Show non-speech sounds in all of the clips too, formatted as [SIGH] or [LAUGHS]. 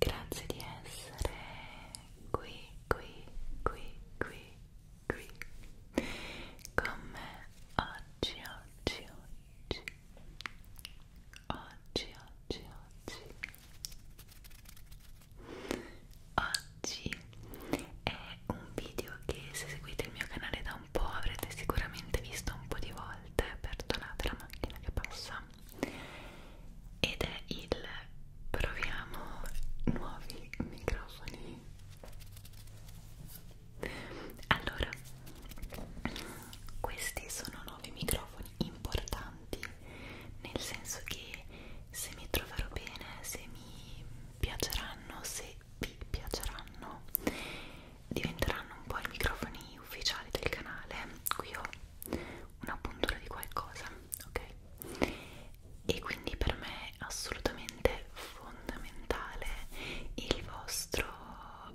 Grazie di essere qui, qui, qui, qui, qui con me oggi, oggi, oggi, oggi, oggi, oggi. Oggi è un video che se seguite il mio canale da un po' avrete sicuramente visto un po' di volte per donare la macchina che passa settimana ed è il proviamo nuovi microfoni allora questi sono nuovi microfoni importanti nel senso che se mi troverò bene se mi piaceranno se vi piaceranno diventeranno un po' i microfoni ufficiali del canale qui ho una puntura di qualcosa ok e quindi per me è assolutamente fondamentale il vostro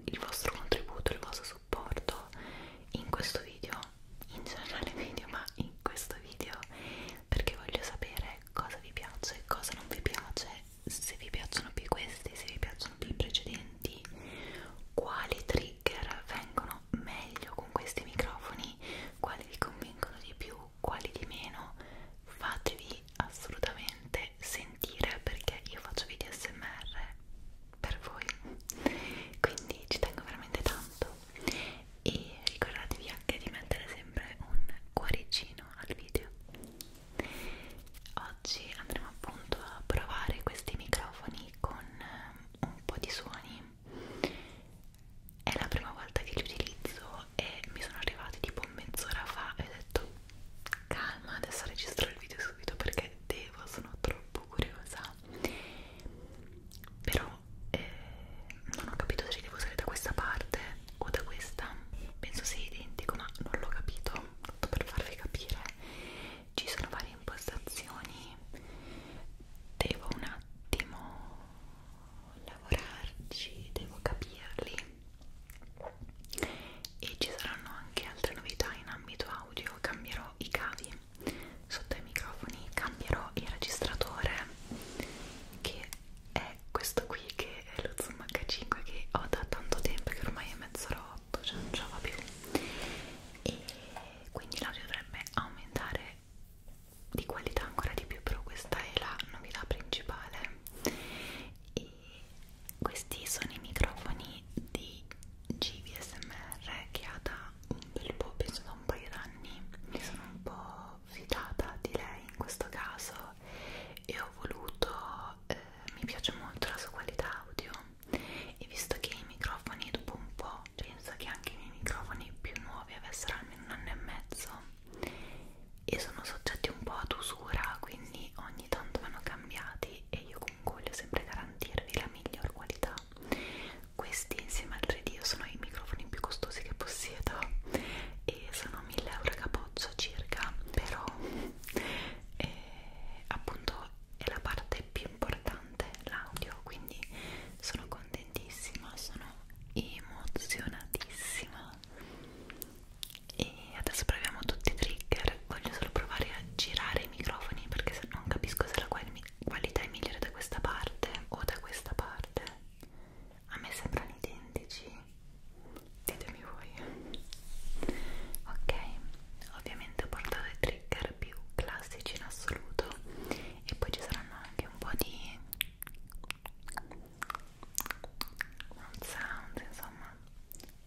il vostro contributo il vostro supporto in questo video in generale [LAUGHS] video ma in questo video perché voglio sapere cosa vi piace cosa non vi piace se vi piacciono più questi se vi piacciono più i precedenti di quali trigger vengono meglio con questi microfoni, quali vi convincono di più, quali di meno, fatevi assolutamente sentire perché io faccio video smr per voi quindi ci tengo veramente tanto e ricordatevi anche di mettere sempre un cuoricino al video Oggi andremo appunto a provare questi microfoni con eh, un po' di suoni. È la prima volta che li utilizzo e mi sono arrivati tipo mezz'ora fa e ho detto calma, adesso registro il video subito perché devo, sono troppo curiosa. Però eh, non ho capito se li devo usare da questa parte o da questa. Penso sia identico, ma non l'ho capito. Tutto per farvi capire ci sono varie impostazioni devo un attimo lavorarci devo capirli e ci saranno anche altre novità in ambito audio cambierò i cavi sotto i microfoni cambierò il registratore che è questo qui che è lo Zoom H5 che ho da tanto tempo che ormai è mezz'ora troppo, cioè non ce la fa più e quindi l'audio dovrebbe aumentare di qualità ancora di più però questa è la novità principale e questi sono i microfoni di GVSMR che ha da un bel po', penso da un paio d'anni mi sono un po' fidata di lei in questo caso e ho voluto, eh, mi piace molto la sua qualità audio e visto che i microfoni dopo un po' penso che anche i miei microfoni più nuovi avessero almeno un anno e mezzo e sono soggetti un po' ad usura quindi ogni tanto vanno cambiati e io comunque voglio sempre garantirvi la miglior qualità questi insieme al 3D sono i microfoni più costosi che possiedo e sono 1000 euro capoccia circa però eh, appunto è la parte più importante, l'audio, quindi sono contentissima, sono emozionatissima e adesso proviamo tutti i trigger, voglio solo provare a girare i microfoni perché non capisco se la qualità è migliore da questa parte o da questa parte a me sembrano identici ditemi farmi voi ok ovviamente ho portato i trigger più classici in assoluto e poi ci saranno anche un po' di un sound insomma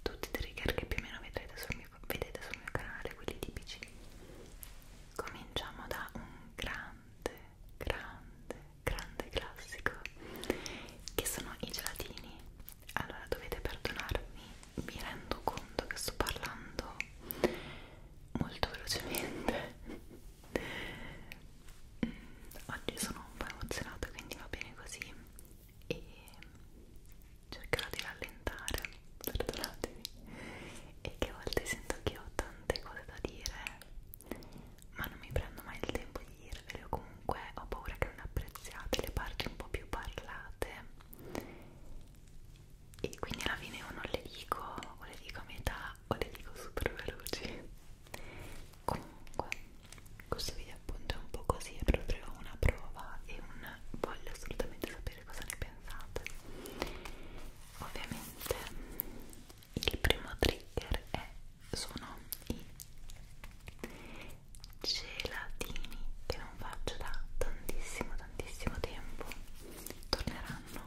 tutti i trigger che più o meno vedrete sul mio, vedete sul mio canale quelli tipici cominciamo da un grande grande grande classico che sono i gelatini allora dovete perdonarmi mi rendo conto che sto parlando molto velocemente mm, oggi sono un po' emozionata quindi va bene così e cercherò di rallentare perdonatemi e che a volte sento che ho tante cose da dire ma non mi prendo mai il tempo di dirvele o comunque ho paura che non apprezziate le parti un po' più parlate e quindi alla fine io non le dico o le dico a metà o le dico super veloci comunque questo video appunto è un po' così è proprio una prova e un voglio assolutamente sapere cosa ne pensate ovviamente il primo trigger è sono i gelatini che non faccio da tantissimo tantissimo tempo torneranno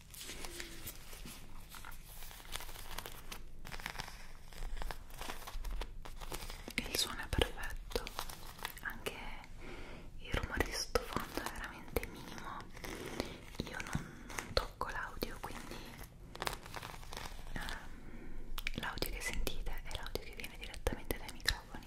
il suono è perfetto anche il rumore di sottofondo è veramente minimo io non, non tocco l'audio quindi ehm, l'audio che sentite è l'audio che viene direttamente dai microfoni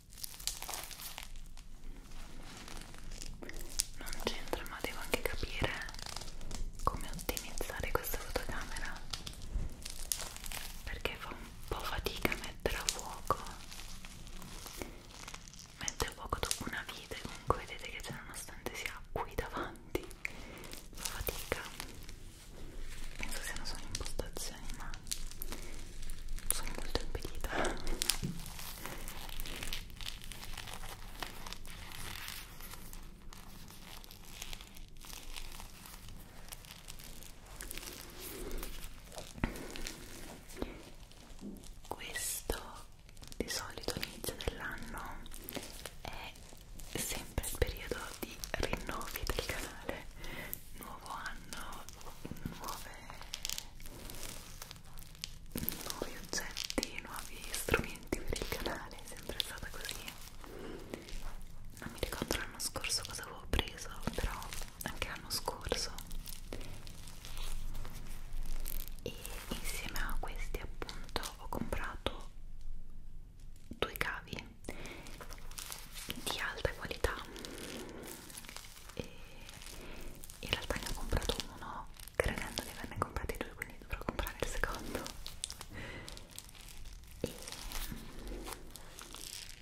non c'entra ma devo anche capire come ottimizzare questa fotocamera perché fa un po' fatica a mettere a fuoco mettere a fuoco dopo una vite comunque vedete che c'è nonostante sia qui davanti fa fatica penso siano solo impostazioni situazioni ma sono molto impedita questo di solito all'inizio dell'anno è sempre il periodo di rinnovi del canale nuovi nuovo anno nuove, nuovi oggetti, nuovi strumenti per il canale, è sempre stata così. Non mi ricordo l'anno scorso cosa avevo preso, però anche l'anno scorso. E insieme a questi appunto ho comprato due cavi di alta qualità e in realtà ne ho comprato uno credendo di averne comprati due quindi dovrò comprare il secondo e,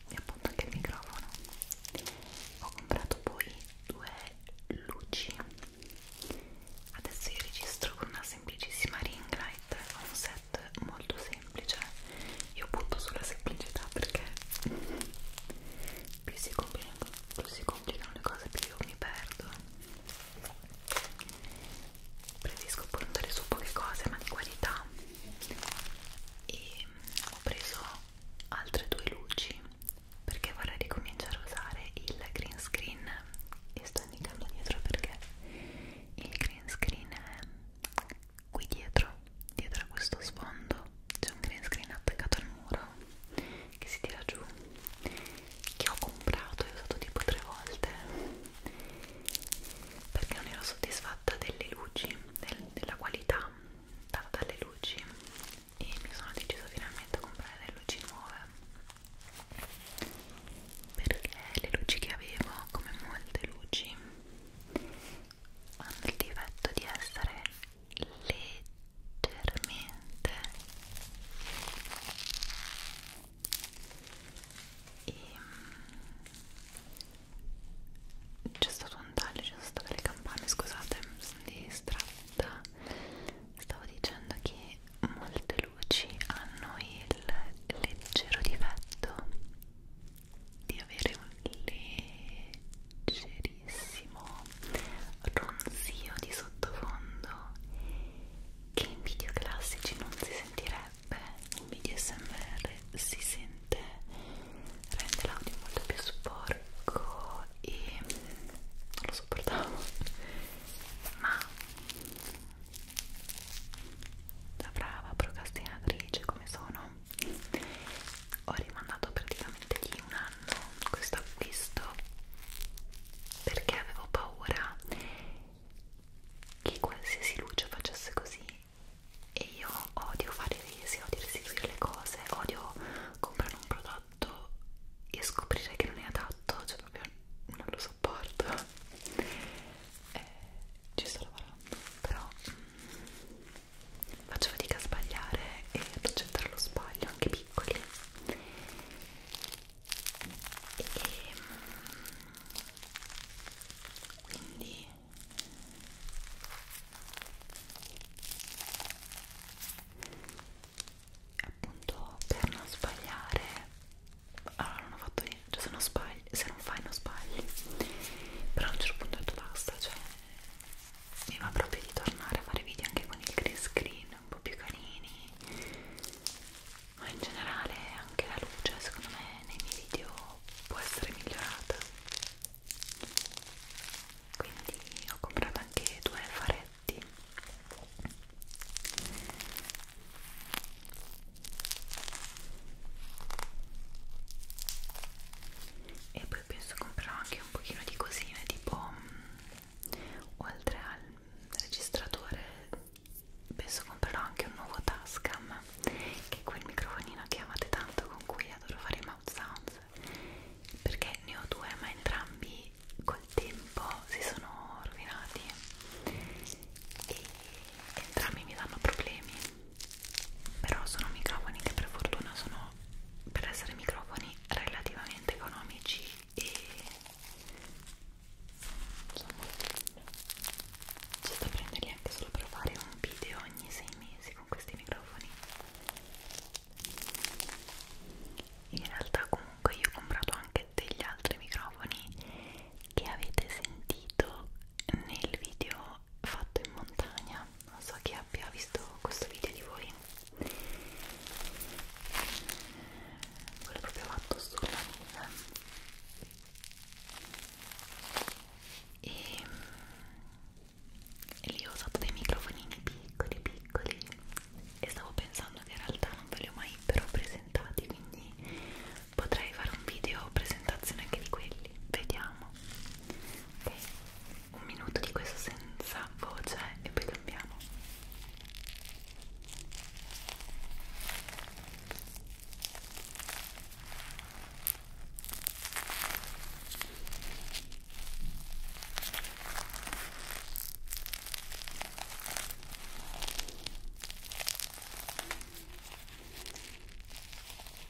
e appunto anche il microfono ho comprato poi due luci adesso io registro con una semplicissima ring light un set molto semplice semplice io punto sulla semplicità perché più si complicano, più si complicano le cose più io mi perdo preferisco puntare su poche cose ma di qualità e ho preso altre due luci perché vorrei ricominciare a usare il green screen e sto indicando dietro perché il green screen è qui dietro, dietro a questo sfondo, c'è un green screen attaccato al muro che si tira giù che ho comprato e usato tipo tre volte perché non ero soddisfatta delle luci, del, della qualità data dalle luci e mi sono decisa finalmente a comprare delle luci nuove perché le luci che avevo, come molte luci hanno il difetto di essere leggermente e ehm, c'è stato un taglio, ci sono state le campane, scusate, mi sono distratta stavo dicendo che molte luci hanno il leggero difetto di avere un leggerissimo ronzio di sottofondo che in video classici non si sentirebbe in video smr si sente rende l'audio molto più sporco e non lo sopportavo ma da brava procrastinatrice come sono ho rimandato praticamente di un anno questo acquisto perché avevo paura che qualsiasi luce facesse così e io odio fare resi, odio restituire le cose, odio comprare un prodotto e scoprire che non è adatto, cioè proprio non lo sopporto eh, ci sto lavorando però mm, faccio fatica a sbagliare e ad accettare lo sbaglio, anche piccoli e, ehm, quindi appunto per non sbagliare allora non ho fatto niente, cioè se non sbagli, se non fai non sbagli però a un certo punto ho detto basta, cioè mi va proprio di tornare a fare video anche con il green screen un po' più carini ma in generale anche la luce secondo me nei miei video può essere migliorata quindi ho comprato anche due faretti e poi penso comprerò anche un pochino di cosine tipo mh, mm, oltre al registratore penso comprerò anche un nuovo Tascam che è quel microfonino che amate tanto con cui adoro fare i mouth sounds perché ne ho due ma entrambi col tempo si sono rovinati e entrambi mi danno problemi però sono microfoni che per fortuna sono per essere microfoni relativamente economici e insomma c'è da prenderli anche solo per fare un video ogni 6 mesi con questi microfoni in realtà comunque io ho comprato anche degli altri microfoni che avete sentito nel video fatto in montagna non so chi abbia visto questo video di voi quello proprio fatto sulla mina e, e lì ho usato dei microfonini piccoli piccoli e stavo pensando che in realtà non ve li ho mai però presentati quindi potrei fare un video presentazione anche di quelli capelli vediamo ok un minuto di questo senza voce e poi cambiamo ok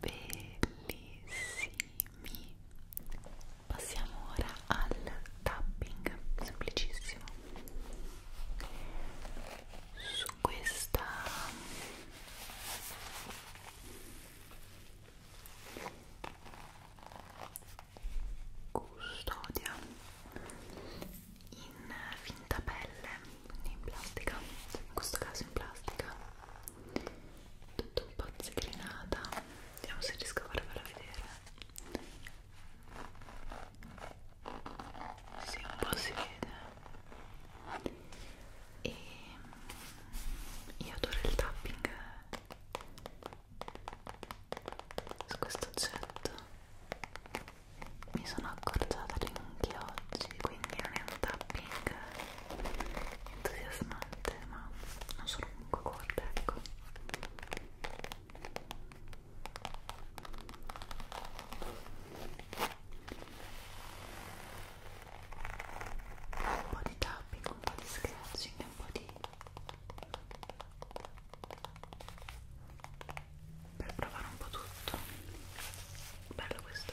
bellissimi passiamo ora al tapping semplicissimo su questa custodia in finta pelle, quindi in plastica, in questo caso in plastica, tutto un po' zigrinata, vediamo se riesco a farvela vedere, si sì, un po' si vede, e io adoro il tapping su questo oggetto mi sono accorciata le unghie oggi quindi non è un tapping entusiasmante ma non sono comunque corta ecco un po' di tapping, un po' di scratching, un po' di per provare un po' tutto bello questo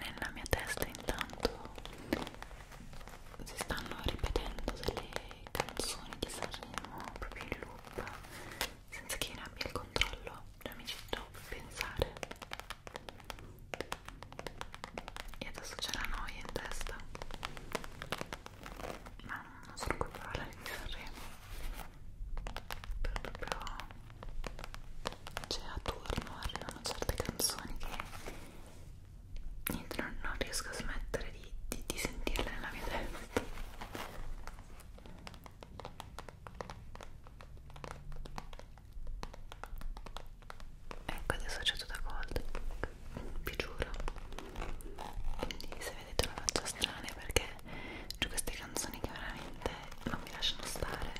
Nella mia testa intanto si stanno ripetendo delle canzoni di Sanremo proprio in loop top senza che io ne abbia il controllo cioè mi ci devo pensare e adesso c'è la noia in testa ma non sono colpevole di Sanremo però proprio c'è cioè, a turno arrivano certe canzoni che niente non, non riesco a smettere di, di, di sentirle nella mia testa ecco adesso c'è tutto cold vi giuro quindi se vedete una faccia strana perché c'è queste canzoni che veramente non mi lasciano stare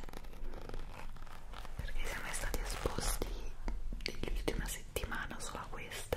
perché siamo stati esposti degli ultima settimana solo a queste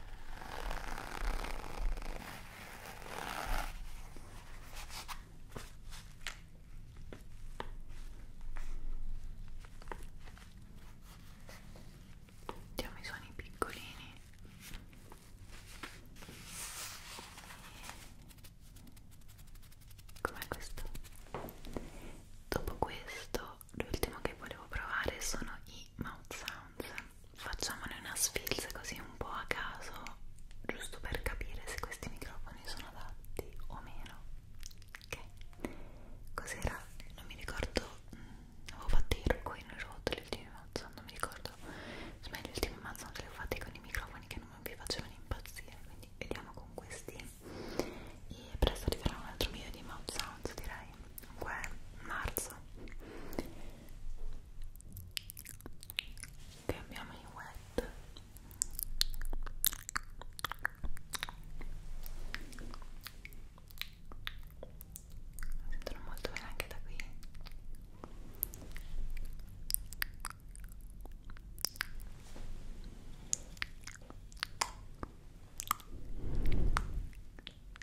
Diamo i suoni piccolini. Com'è questo? Dopo questo, l'ultimo che volevo provare sono i mouth sounds facciamone una sfilza così un po' a caso, giusto per capire se questi microfoni sono adatti o meno. Ok? Cos'era? Non mi ricordo, mh, mm, avevo fatto i rucoli rotoli l'ultimo mazzo, non mi ricordo. Smeglio, cioè, l'ultimo mazzo non li ho fatti con i microfoni che non mi facevano impazzire, quindi vediamo con questi. E presto arriverà un altro video di mouth sounds direi comunque marzo cambiamo i wet mi sentono molto bene anche da qui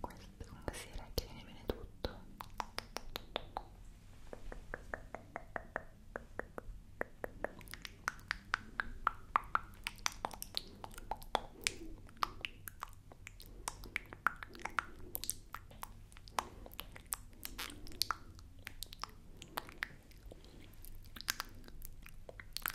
questo comunque si regge viene bene tutto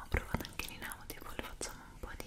Ho provato anche in audio, poi facciamo un po' di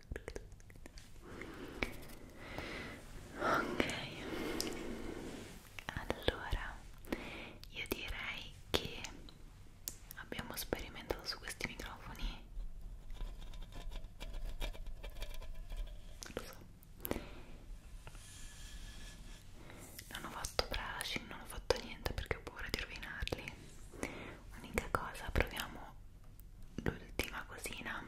ok allora io direi che abbiamo sperimentato su questi microfoni lo so non ho fatto brushing non ho fatto niente perché ho paura di rovinarli unica cosa proviamo l'ultima cosina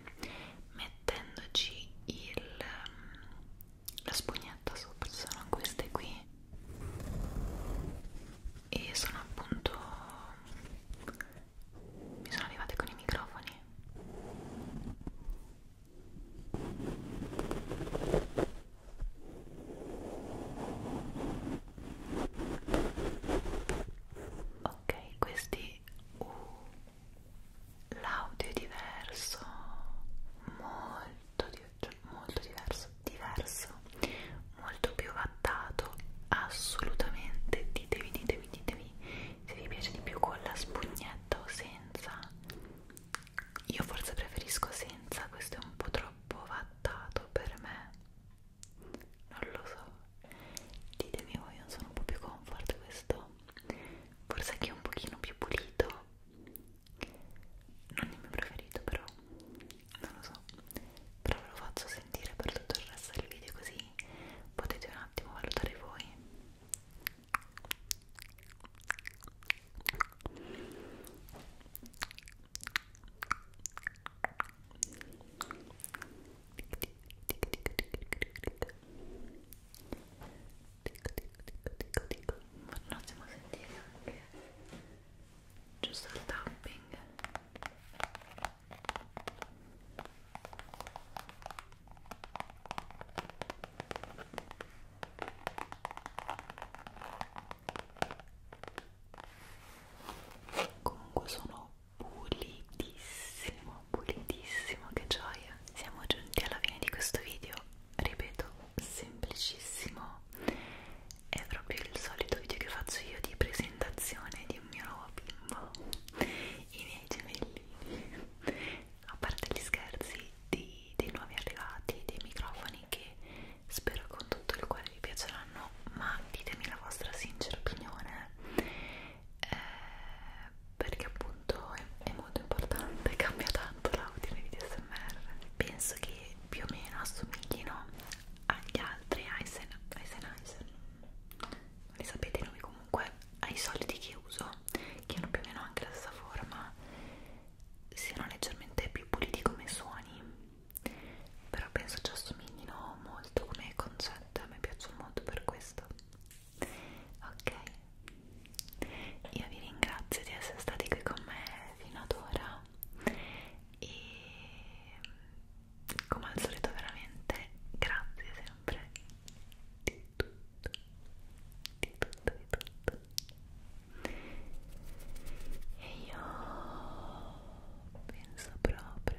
mettendoci il, la spugnetta sopra sono queste qui e sono appunto mi sono arrivate con i microfoni ok questi uh, l'audio è diverso molto, cioè, molto diverso diverso molto più adattato assolutamente ditemi ditemi ditemi se vi piace di più con la spugnetta o senza io forse preferisco senza questo è un po' troppo vattato per me non lo so ditemi voi non sono un po' più comfort questo forse che è un pochino più pulito non è il mio preferito però non lo so però ve lo faccio sentire per tutto il resto del video così potete un attimo valutare voi ok un attimo sentire anche giusto il tapping comunque sono pulitissimo pulitissimo che gioia siamo giunti alla fine di questo video ripeto semplicissimo è proprio il solito video che faccio io di presentazione di un mio nuovo bimbo i miei gemellini a parte gli scherzi di, dei nuovi arrivati dei microfoni che spero con tutto il cuore vi piaceranno ma ditemi la vostra sincera opinione eh, perché appunto è, è molto importante, [LAUGHS] cambia tanto l'audio nei video smr penso che più o meno assomiglino agli altri Aizen, Aizen, Aizen non li sapete i nomi comunque ai soliti che uso che hanno più o meno anche la stessa forma siano leggermente più puliti come suoni però penso ci assomiglino molto come concetto a me piacciono molto per questo ok io vi ringrazio di essere stati qui con me fino ad ora e come al solito veramente grazie sempre di tutto di tutto di tutto e io penso proprio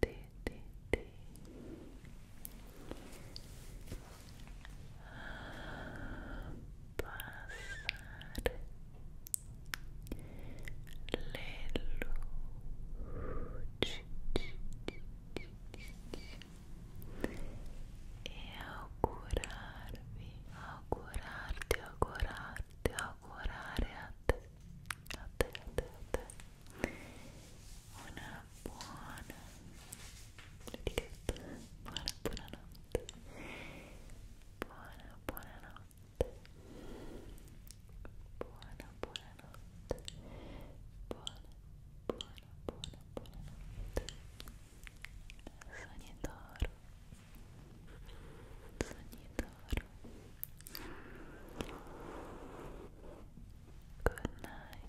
T, T, T. Passare le luci e augurarvi, augurarti, augurarti, augurare a te, a te, a te, a te una buona buona buonanotte buona buonanotte buona buonanotte buona buona buona buonanotte sogni d'oro sogni d'oro Good night.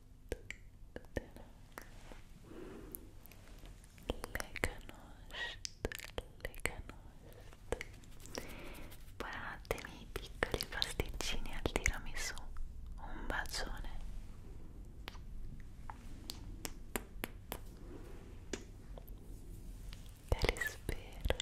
le canosce guardate i miei piccoli pasticcini al tiramisù un bacione te li spero